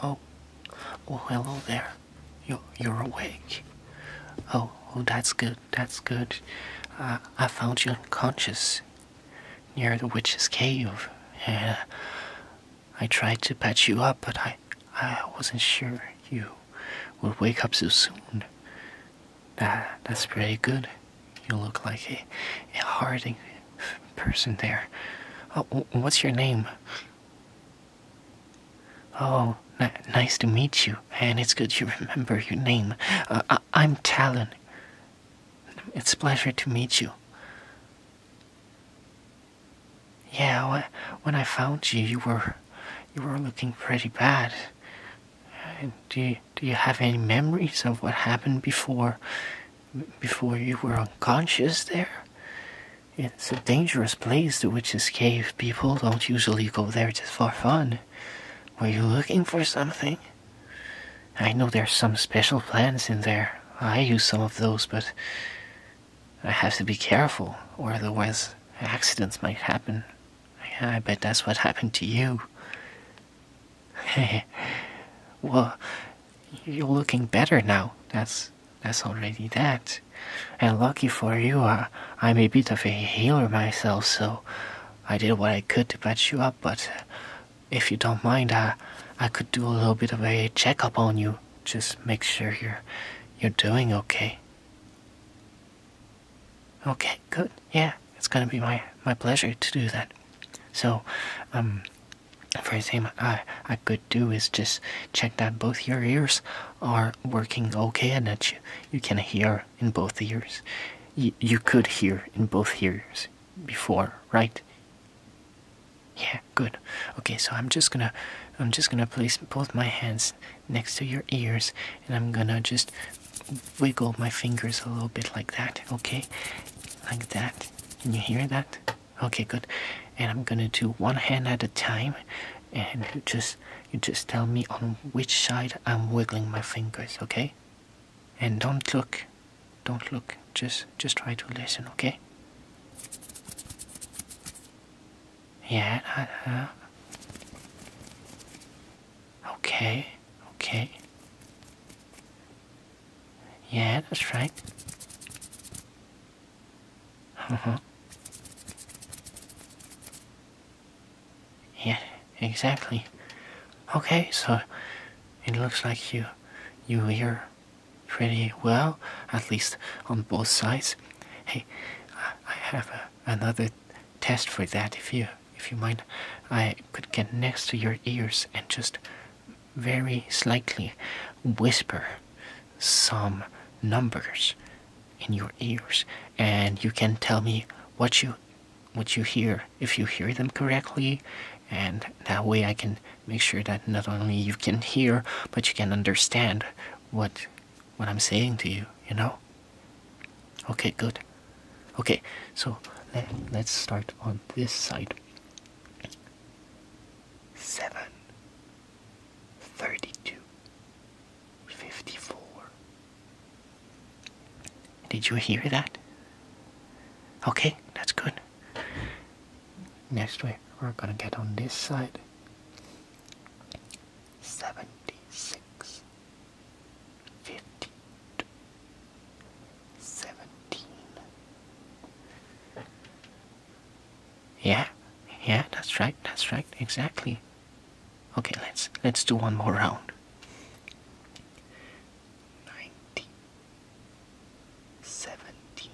Oh, oh, hello there. You're, you're awake. Oh, oh, that's good, that's good. Uh, I found you unconscious near the witch's cave. and uh, I tried to patch you up, but I, I wasn't sure you we will wake up so soon. that's pretty good. You look like a, a person there. Oh, what's your name? Oh, nice to meet you, and it's good you remember your name. Uh, I am Talon. It's pleasure to meet you. Yeah, when I found you, you were you were looking pretty bad. Do you, do you have any memories of what happened before before you were unconscious there? It's a dangerous place, the witch's cave. People don't usually go there just for fun. Were you looking for something? I know there's some special plants in there. I use some of those, but I have to be careful, or otherwise accidents might happen. I bet that's what happened to you. Hey, well, you're looking better now. That's that's already that. And lucky for you, uh, I'm a bit of a healer myself, so I did what I could to patch you up. But if you don't mind, uh, I could do a little bit of a checkup on you just make sure you're you're doing okay. Okay, good. Yeah, it's gonna be my my pleasure to do that. So, um, first thing I I could do is just check that both your ears are working okay and that you you can hear in both ears. You you could hear in both ears before, right? Yeah, good. Okay, so I'm just gonna I'm just gonna place both my hands next to your ears and I'm gonna just wiggle my fingers a little bit like that, okay? Like that. Can you hear that? Okay, good. And I'm gonna do one hand at a time and just you just tell me on which side I'm wiggling my fingers, okay? And don't look. Don't look just just try to listen okay yeah uh, uh. okay okay yeah that's right uh-huh. yeah exactly okay so it looks like you you hear pretty well, at least on both sides. Hey, I have another test for that. If you, if you mind, I could get next to your ears and just very slightly whisper some numbers in your ears, and you can tell me what you, what you hear if you hear them correctly, and that way I can make sure that not only you can hear but you can understand what what I'm saying to you, you know? Okay, good. Okay, so let, us start on this side. 7 Did you hear that? Okay, that's good. Next way, we're gonna get on this side. 76 Yeah, yeah, that's right, that's right, exactly. Okay, let's let's do one more round. 90 seventeen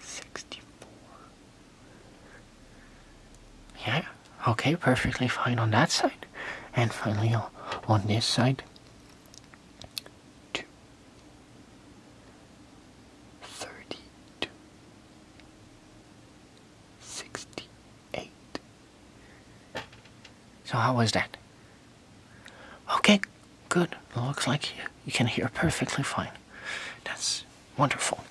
sixty four. Yeah, okay, perfectly fine on that side. And finally on this side. Two thirty two sixty eight. So how was that? Okay, good. looks like you, can hear perfectly fine. That's wonderful.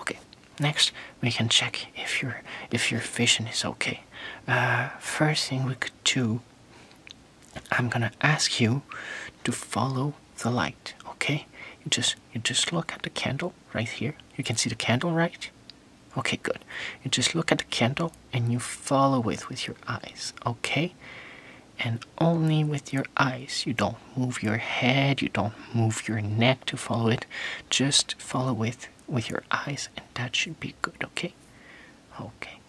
Okay, next we can check if your if your vision is okay. Uh, first thing we could do, I'm gonna ask you to follow the light. Okay, you just you just look at the candle right here. You can see the candle, right? Okay, good. You just look at the candle and you follow it with your eyes, okay? And only with your eyes. You don't move your head, you don't move your neck to follow it. Just follow it with your eyes, and that should be good, okay? Okay.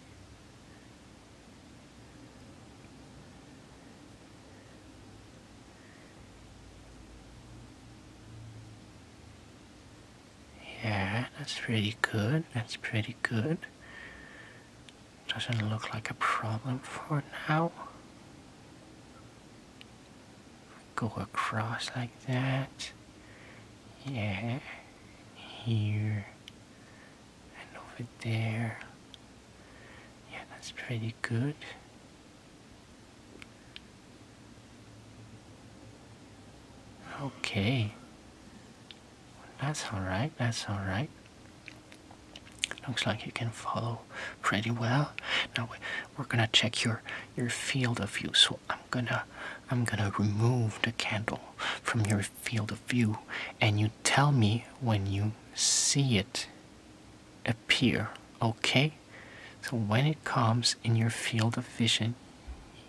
Yeah, that's pretty good. That's pretty good. Doesn't look like a problem for now. Go across like that. Yeah. Here. And over there. Yeah, that's pretty good. Okay. That's alright, that's alright. Looks like you can follow pretty well. Now we're gonna check your your field of view. So I'm gonna I'm gonna remove the candle from your field of view and you tell me when you see it appear, okay? So when it comes in your field of vision,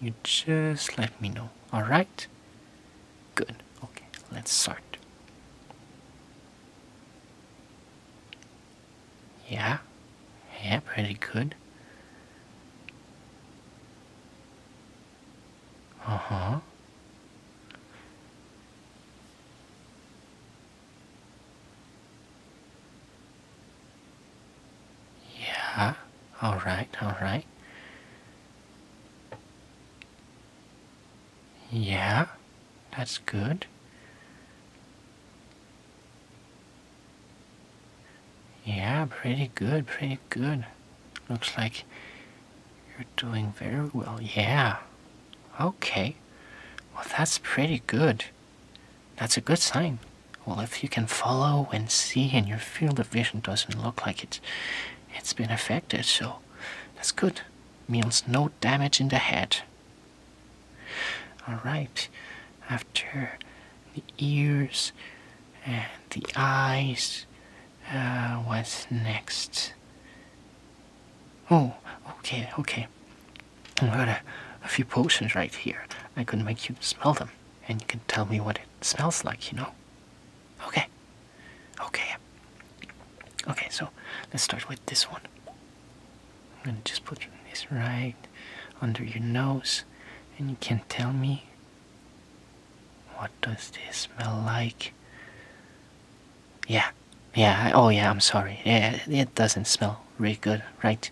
you just let me know. Alright? Good. Okay, let's start. Yeah, yeah, pretty good. Uh huh. Yeah, all right, all right. Yeah, that's good. Yeah, pretty good, pretty good. Looks like you're doing very well. Yeah. Okay. Well, that's pretty good. That's a good sign. Well, if you can follow and see and your field of vision doesn't look like it's, it's been affected, so that's good. Means no damage in the head. Alright, after the ears and the eyes, uh, what's next? Oh, okay, okay. I've got a, few potions right here. I can make you smell them, and you can tell me what it smells like, you know? Okay. Okay. Okay, so let's start with this one. I'm gonna just put this right under your nose, and you can tell me what does this smell like? Yeah, yeah, oh yeah, I'm sorry. Yeah, it doesn't smell really good, right?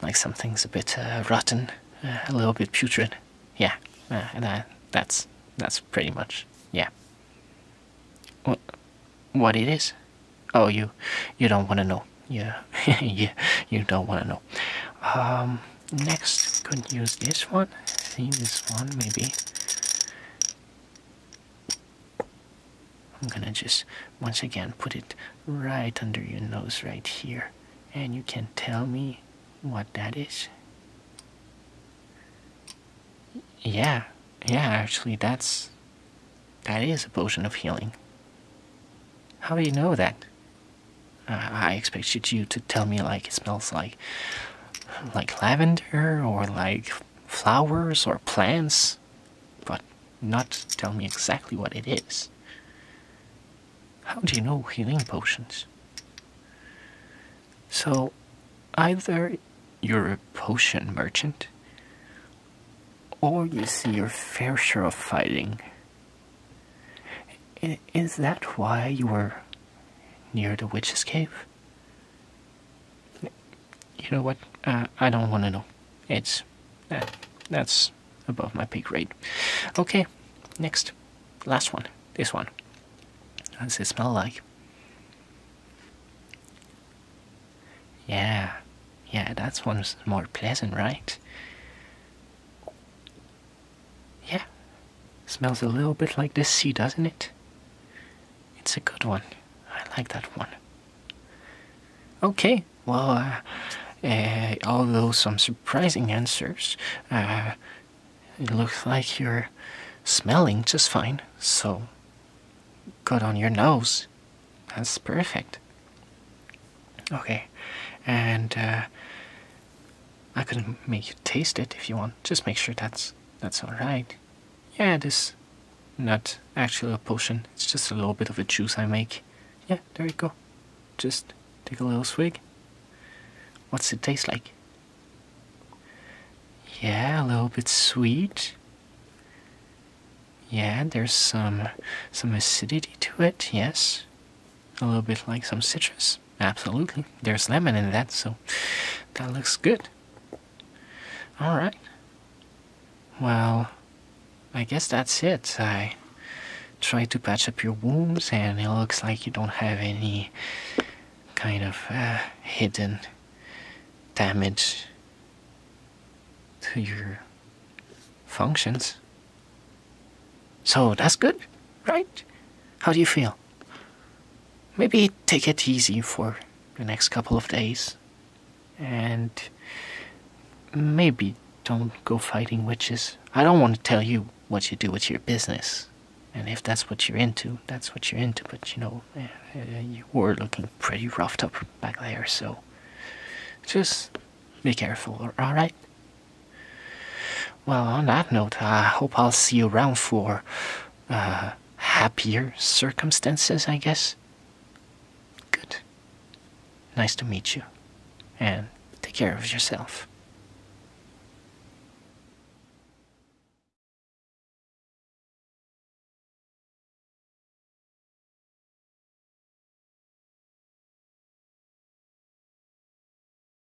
Like something's a bit uh, rotten, uh, a little bit putrid. Yeah, that, uh, that's, that's pretty much, yeah. What, what it is? Oh, you, you don't want to know. Yeah, yeah, you don't want to know. Um, next, could use this one. See this one, maybe. I'm gonna just once again put it right under your nose right here. And you can tell me what that is. Yeah, yeah, actually, that's. That is a potion of healing. How do you know that? Uh, I expected you to tell me like it smells like. like lavender or like flowers or plants but not tell me exactly what it is. How do you know healing potions? So, either you're a potion merchant, or you see your fair share of fighting. Is that why you were near the witch's cave? You know what? Uh, I don't want to know. It's uh, that's above my pay grade. Okay, next, last one. This one. How does it smell like? Yeah, yeah, that one's more pleasant, right? Yeah, smells a little bit like this sea, doesn't it? It's a good one. I like that one. Okay, well, uh, uh, although some surprising answers, uh, it looks like you're smelling just fine, so good on your nose. That's perfect. Okay, and I could make you taste it if you want. Just make sure that's that's all right. Yeah, it is not actually a potion. It's just a little bit of a juice I make. Yeah, there you go. Just take a little swig. What's it taste like? Yeah, a little bit sweet. Yeah, there's some some acidity to it. Yes, a little bit like some citrus. Absolutely. There's lemon in that, so that looks good. Alright. Well, I guess that's it. I try to patch up your wounds, and it looks like you don't have any kind of uh, hidden damage to your functions. So that's good, right? How do you feel? Maybe take it easy for the next couple of days. And maybe don't go fighting witches. I don't want to tell you what you do with your business. And if that's what you're into, that's what you're into. But you know, eh, eh, you were looking pretty roughed up back there, so just be careful, alright? Well, on that note, uh, I hope I'll see you around for uh, happier circumstances, I guess. Good. Nice to meet you. And take care of yourself.